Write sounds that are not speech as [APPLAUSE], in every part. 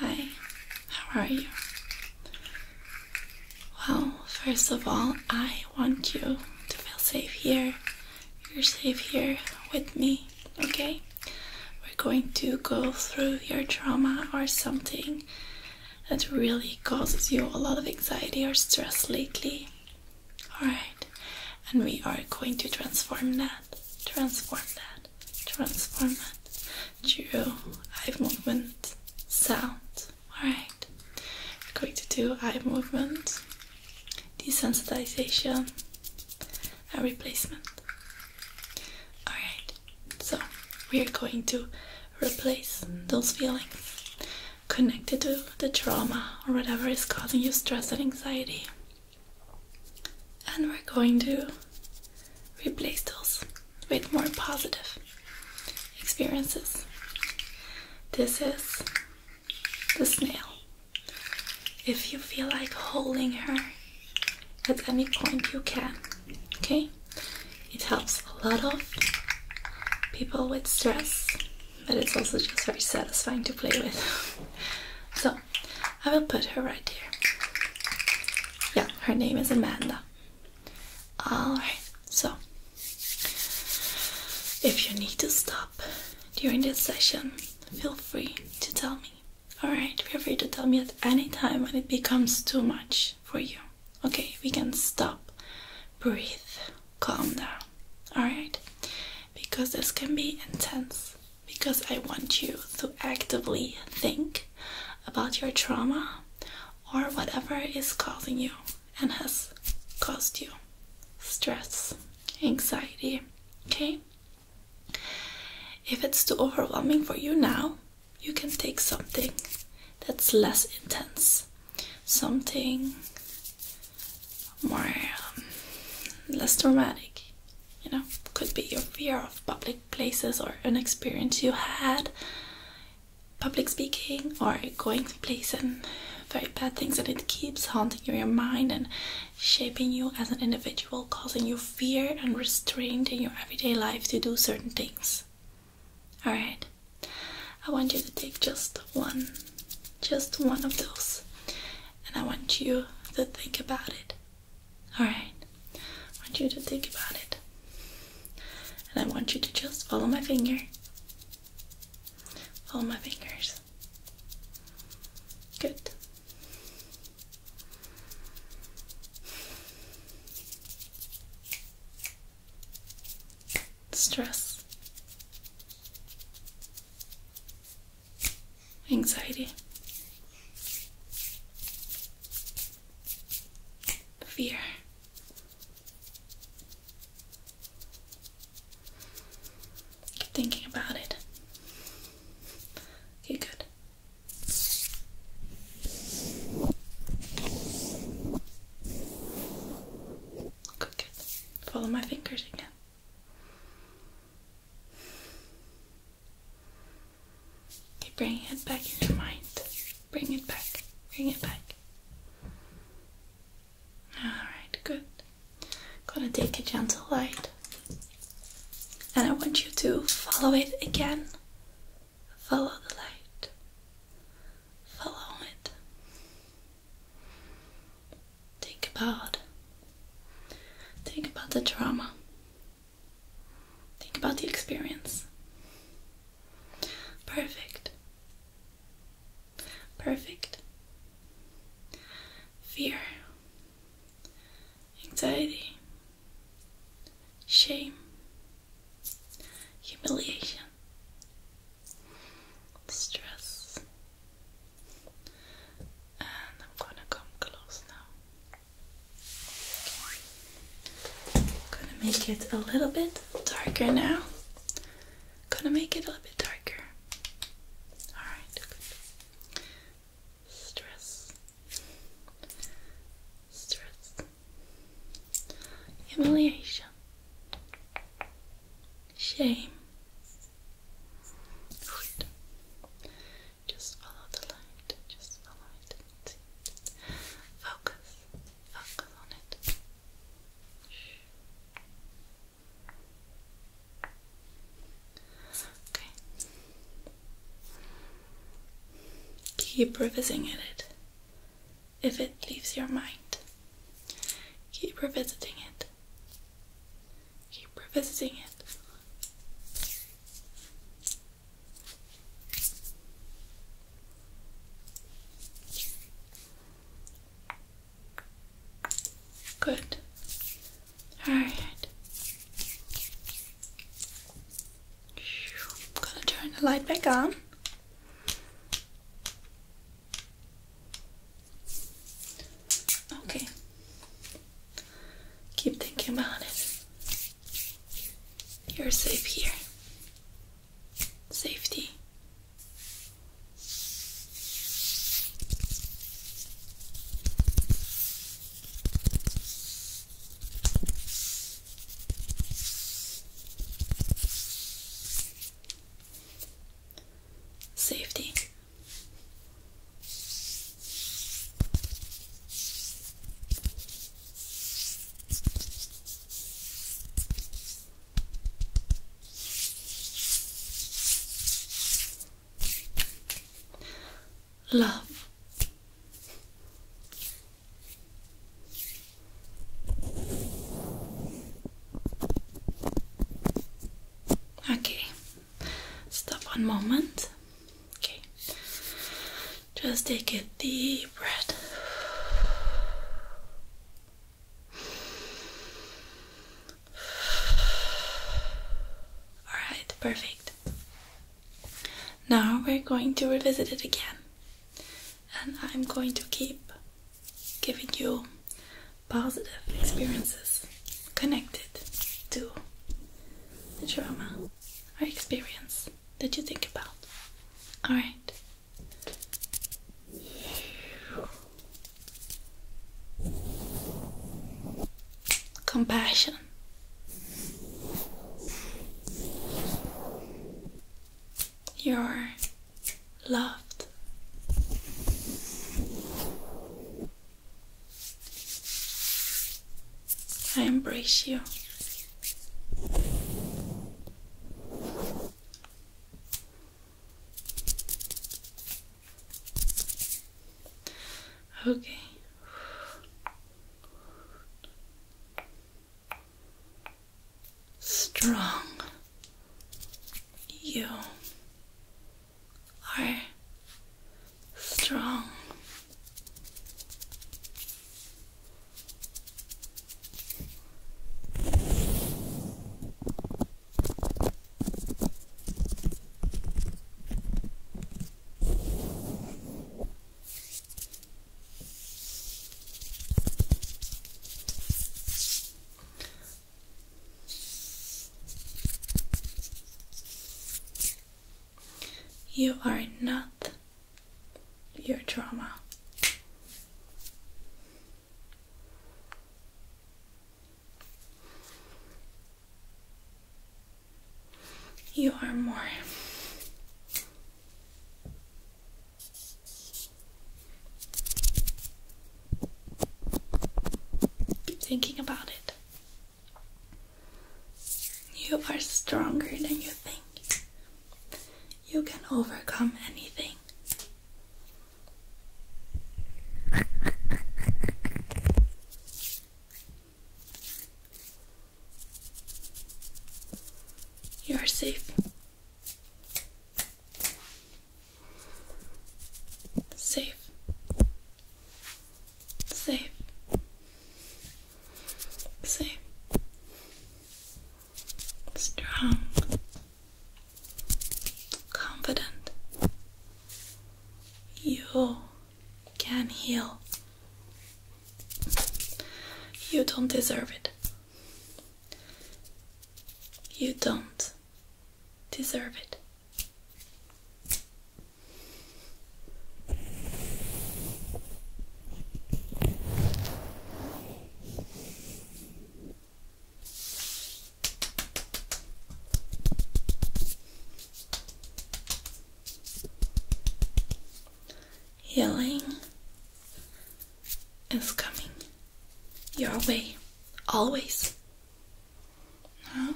Hi, how are you? Well, first of all, I want you to feel safe here. You're safe here with me, okay? We're going to go through your trauma or something that really causes you a lot of anxiety or stress lately. Alright, and we are going to transform that. Transform that word transformer duo eye movement sound alright we're going to do eye movement desensitization and replacement alright so we are going to replace those feelings connected to the trauma or whatever is causing you stress and anxiety and we're going to replace those with more positive experiences. This is the snail. If you feel like holding her at any point, you can. Okay? It helps a lot of people with stress, but it's also just very satisfying to play with. [LAUGHS] so, I will put her right here. Yeah, her name is Amanda. Alright, so if you need to stop during this session, feel free to tell me. Alright, feel free to tell me at any time when it becomes too much for you. Okay, we can stop, breathe, calm down. Alright, because this can be intense because I want you to actively think about your trauma or whatever is causing you and has caused you stress, anxiety. Okay? If it's too overwhelming for you now, you can take something that's less intense, something more um, less dramatic you know, could be your fear of public places or an experience you had public speaking or going to places, and very bad things and it keeps haunting your mind and shaping you as an individual causing you fear and restraint in your everyday life to do certain things all right i want you to take just one just one of those and i want you to think about it Alright, I want you to think about it. And I want you to just follow my finger. Follow my fingers. Good. Stress anxiety, fear. Keep thinking about it. Okay, Good, good. Follow my fingers again. Okay, bring it back in your mind. Bring it back. Bring it back. Alright, good. Gonna take a gentle light. And I want you to follow it again. Follow the light. Follow it. Think about think about the drama Think about the experience. Perfect. Perfect. Fear. Anxiety. Shame. Humiliation. Stress. And I'm gonna come close now. Gonna make it a little bit darker now. Gonna make it a little bit darker. Alright, Stress. Stress. Humiliation. Shame. Good. Just follow the light. Just follow it. Focus. Focus on it. Okay. Keep revisiting it if it leaves your mind. Keep revisiting it. Keep revisiting it. Good. All right. I'm gonna turn the light back on. Okay. Keep thinking about it. You're safe here. Safety. Safety. Love. Okay, Stop one moment. Okay. Just take a deep breath. Alright, perfect. Now we're going to revisit it again. And I'm going to keep giving you positive experiences connected to the trauma. Our experience that you think about. Alright. Compassion. You're loved. I embrace you. Okay. Strong. You are strong. You are not your trauma. You are more. Keep thinking about it. You are stronger than you think. You can overcome anything. You are safe. Safe. Safe safe, strong, confident. You can heal. You don't deserve it. You don't deserve it. Healing is coming your way always. Now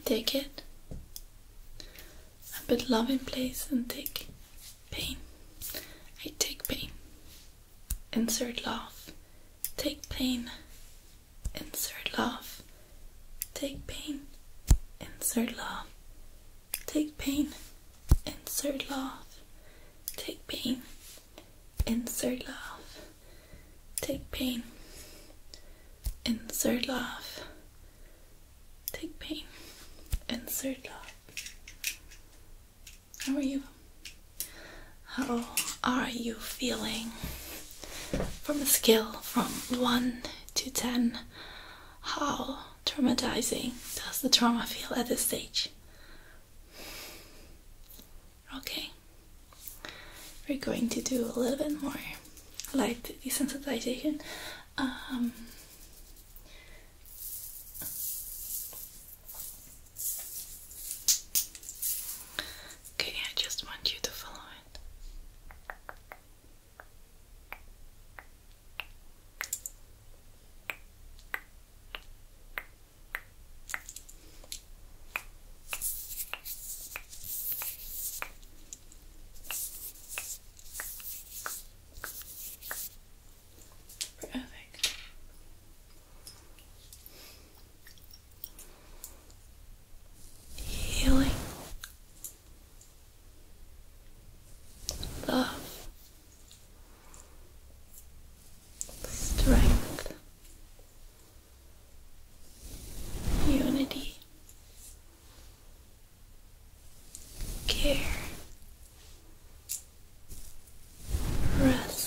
I take it I put love in place and take pain. I take pain. Insert love. Take pain. Insert love. Take pain. Insert love. Take pain, insert laugh. Take pain, insert laugh. Take pain, insert laugh. Take pain, insert laugh. How are you? How are you feeling? From a scale from 1 to 10, how traumatizing does the trauma feel at this stage? Okay, we're going to do a little bit more light desensitization. Um, okay, I just want you to follow it. Perfect. Healing. Love strength, unity, care, rest.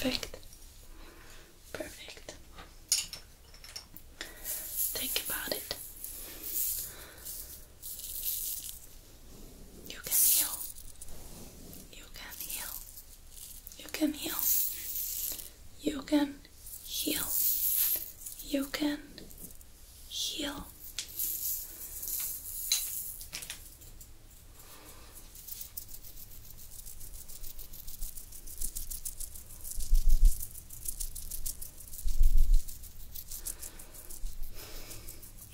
Perfect. Perfect. Think about it. You can heal. You can heal. You can heal. You can heal. You can heal.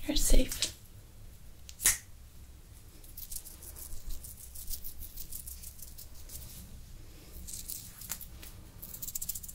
You're safe.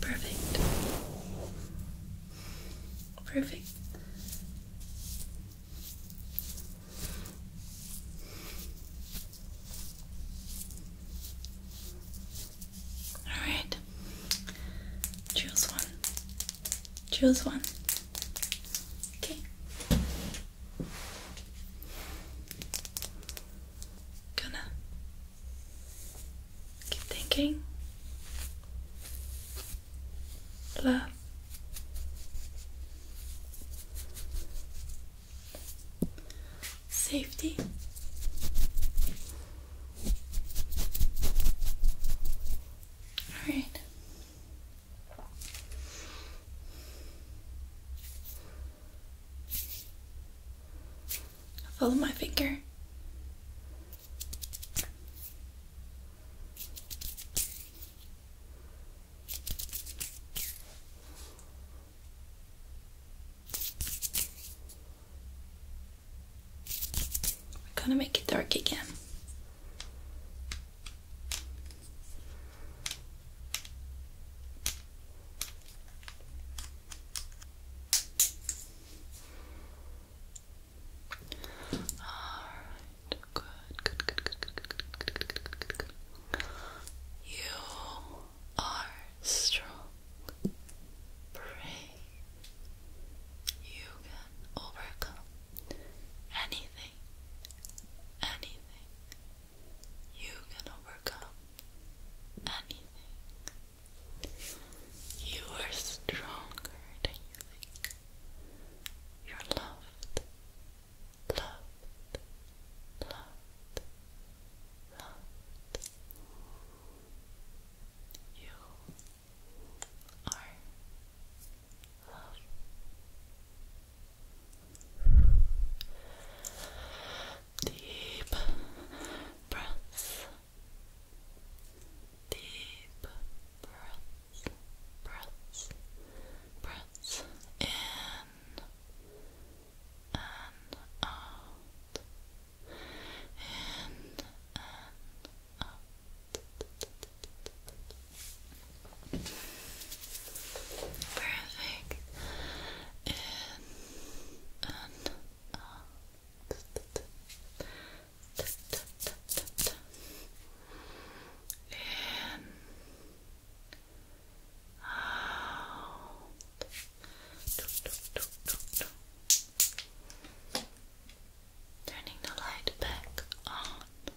Perfect. Perfect. All right. Choose one. Choose one. Okay. Gonna keep thinking. Love. Safety. All right. Follow my finger. We're gonna make it dark again. Alright, good, good, good, good, good, good, good, good, good, You are strong, brave. You can overcome anything, anything, you can overcome anything. You are stronger than you think. You're loved, loved, loved, loved. You are Deep breaths. Deep breaths. Breaths. Breaths in and out. In and out. Perfect. In and out. Turning the light back on.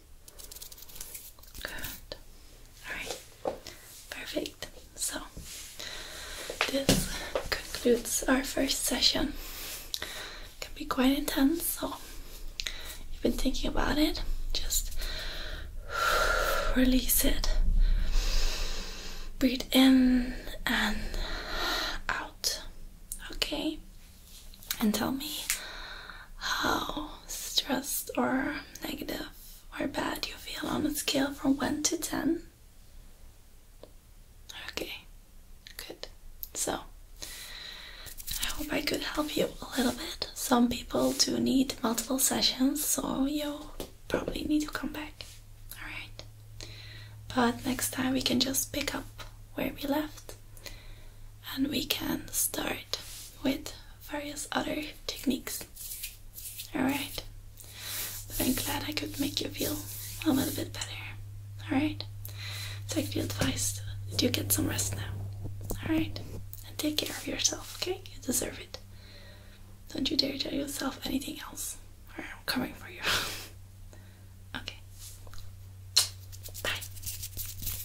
Good. Alright. Perfect. So, this concludes our first session. It can be quite intense, so you've been thinking about it. Just release it. Breathe in and out. Okay and tell me how stressed or negative or bad you feel on a scale from 1 to 10. Okay, good. So, I hope I could help you a little bit. Some people do need multiple sessions, so you'll probably need to come back. Alright. But next time we can just pick up where we left and we can start with various other techniques. Alright? But I'm glad I could make you feel a little bit better. Alright? Take the advice Do get some rest now. Alright? And take care of yourself, okay? You deserve it. Don't you dare tell yourself anything else. Or I'm coming for you. [LAUGHS] okay. Bye.